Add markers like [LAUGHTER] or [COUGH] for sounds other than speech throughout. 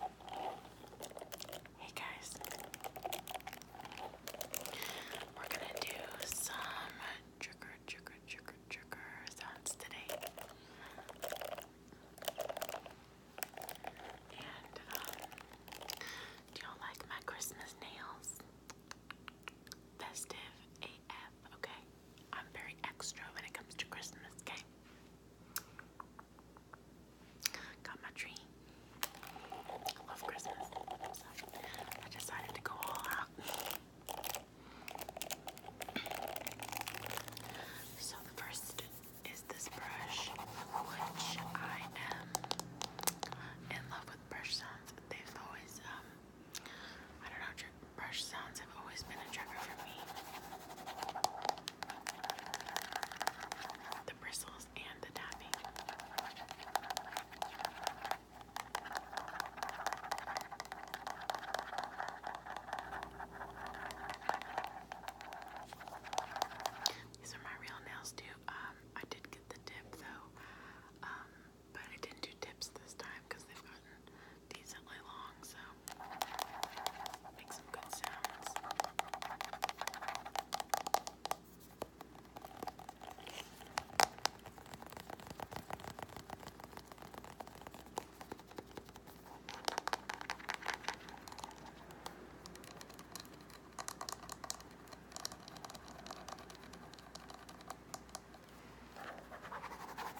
Hey guys, we're gonna do some trigger, trigger, trigger, trigger sounds today. And um, do y'all like my Christmas nails? Festive AF, okay? I'm very extra when it comes to Christmas, okay? Got my tree. I love Christmas. So I decided to go all out. So the first is this brush, which I am in love with brush sounds. They've always, um, I don't know, brush sounds always been a trigger for me. The bristles and the tapping. These are my real nails too. Um, I did get the tip though, um, but I didn't do dips this time because they've gotten decently long, so make some good sounds.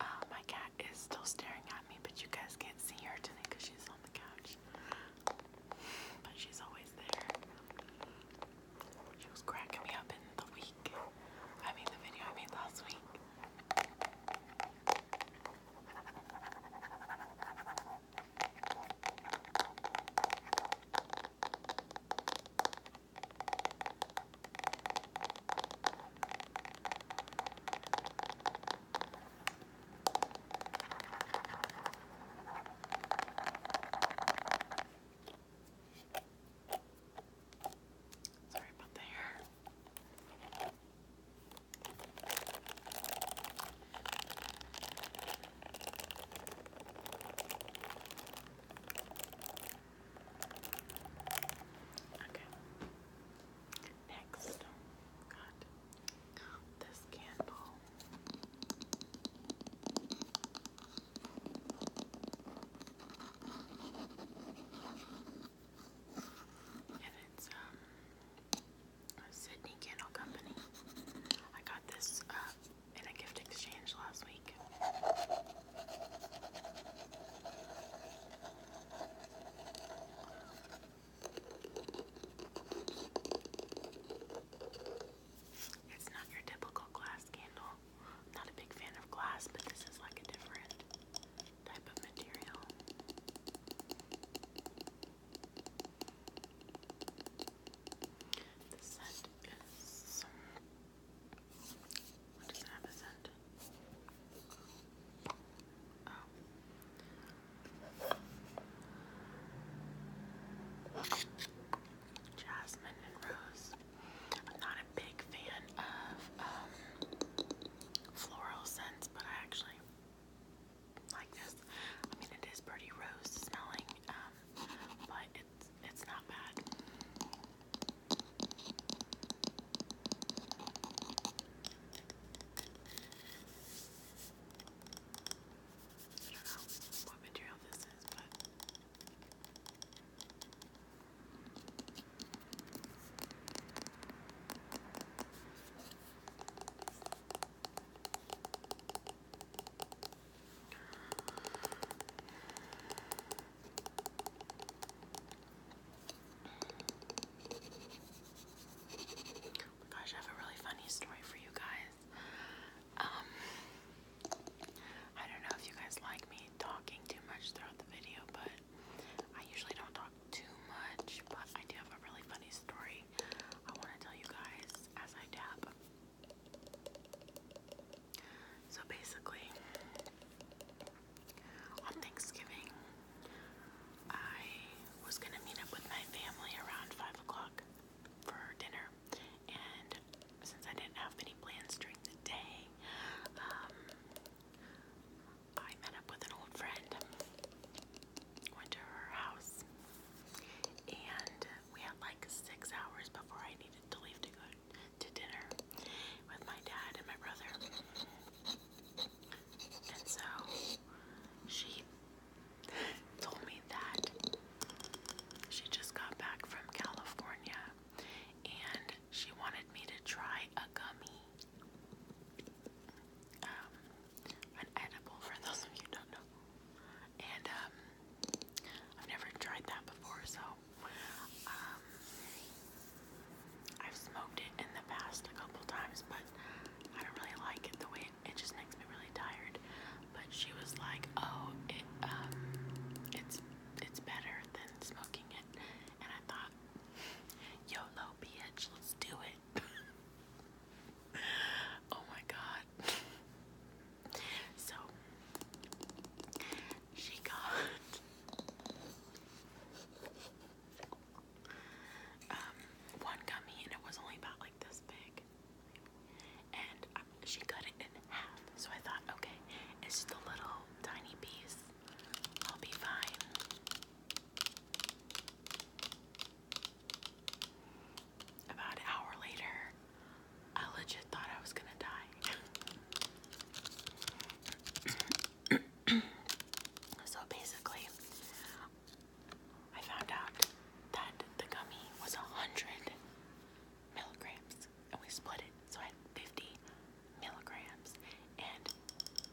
Uh, my cat is still staring at me, but you guys can't see her today because she's on the couch. But she's always there. She was cracking me up in the week. I mean, the video I made last week. Sorry about the hair. Okay. Next, got this candle. And it's um Sydney Candle Company. I got this uh in a gift exchange last week. It's not your typical glass candle. not a big fan of glass, but this is like a different type of material. The scent is what does that represent? Oh. Jasmine and Rose. I'm not a big fan of um, floral scents, but I actually like this. I mean, it is pretty rose smelling, um, but it's not bad. I don't know what material this is, but Oh gosh, I have a really funny story for you guys. Um, I don't know if you guys like me talking too much throughout the video, but I usually don't talk too much, but I do have a really funny story I want to tell you guys as I dab. So basically, on Thanksgiving, I was going to meet up with my family around 5 o'clock for dinner, and since I didn't have any plans during the day, um, I met up with an old friend, went to her house, and we had like six hours before I needed to leave to go to dinner with my dad and my brother. And so she told me that she just got back from California and she wanted me to try a gummy. Um, an edible for those of you don't know and um, I've never tried that before, so um, I've smoked it in the past a couple times, but I don't really like it the way it, just makes me really tired. But she was like, "Oh, it um, it's it's better than smoking it," and I thought, "Yolo, bitch, let's do it." [LAUGHS] oh my god, so she got um, one gummy, and it was only about like this big. And um, she cut it in half, so I thought, okay, it's just a little tiny piece. I'll be fine. About an hour later, I legit thought I was gonna die. [CLEARS THROAT] so basically, I found out that the gummy was a hundred milligrams, and we split it, so I had fifty milligrams. And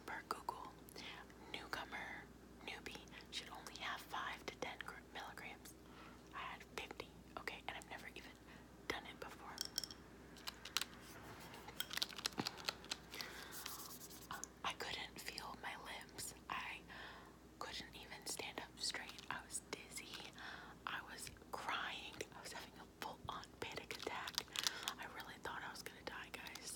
per Google, newcomer newbie should only have five to ten milligrams. I had 50, okay, and I've never even done it before. I couldn't feel my limbs. I couldn't even stand up straight. I was dizzy. I was crying. I was having a full on panic attack. I really thought I was gonna die, guys.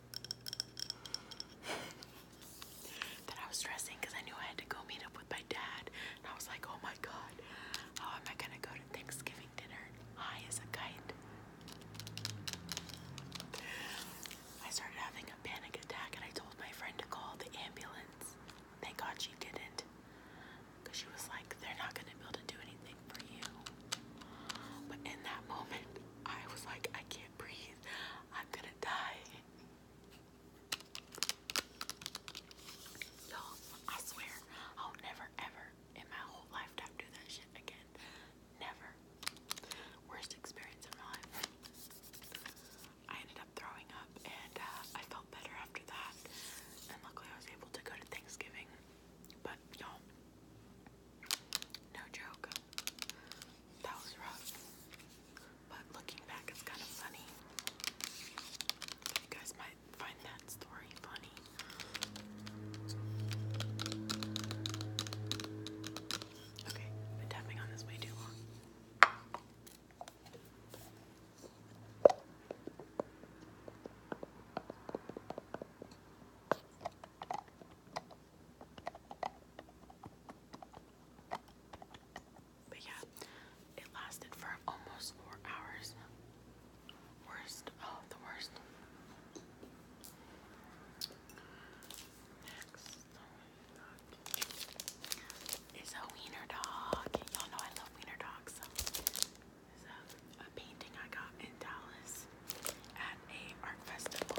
[LAUGHS] then I was stressing because I knew I had to go meet up with my dad. And I was like, oh my god, how am I gonna go to Thanksgiving dinner high as a kite? I started having a panic attack and I told my friend to call the ambulance. Thank God she didn't. Because she was like, they're not going to be able to do anything for you. But in that [LAUGHS] moment, I was like, I can't breathe. I'm gonna die. Yo, I swear, I'll never ever in my whole lifetime do that shit again. Never. Worst experience in my life. I ended up throwing up and uh, I felt better after that. And luckily I was able to go to Thanksgiving. But y'all, no joke. That was rough. But looking back, it's kind of funny. You guys might find that story funny. Okay, been tapping on this way too long. But yeah, it lasted for almost four hours. Worst, oh, the worst. Next is a wiener dog. Y'all know I love wiener dogs. So, a painting I got in Dallas this at a art festival.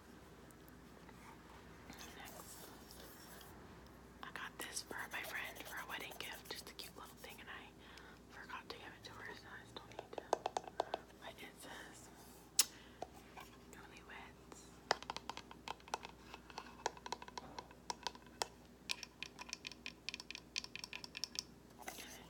Next, I got this for my friend for a wedding gift, just a cute little thing, and I forgot to give it to her, so I still need to. it says newlyweds. Good.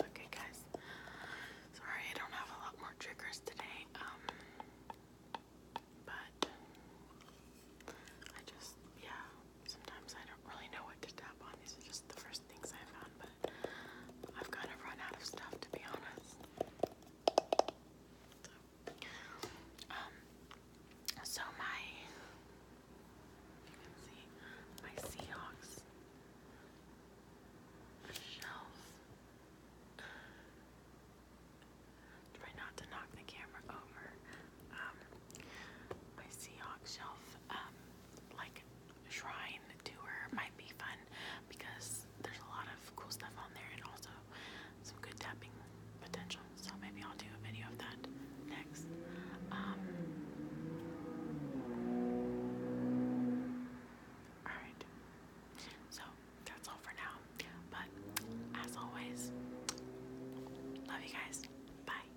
Okay, guys. Sorry, I don't have a lot more triggers today. Um, but I just, yeah, sometimes I don't really know what to tap on. These are just the first things I found, but I've kind of run out of stuff to be honest. um, so my, you can see, my Seahawks shelf. Try not to knock the camera over. Um, my Seahawks shelf, um, like shrine tour might be fun because there's a lot of cool stuff on there and also some good tapping potential. So maybe I'll do a video of that next. Um, alright, so that's all for now. But as always, love you guys. Bye.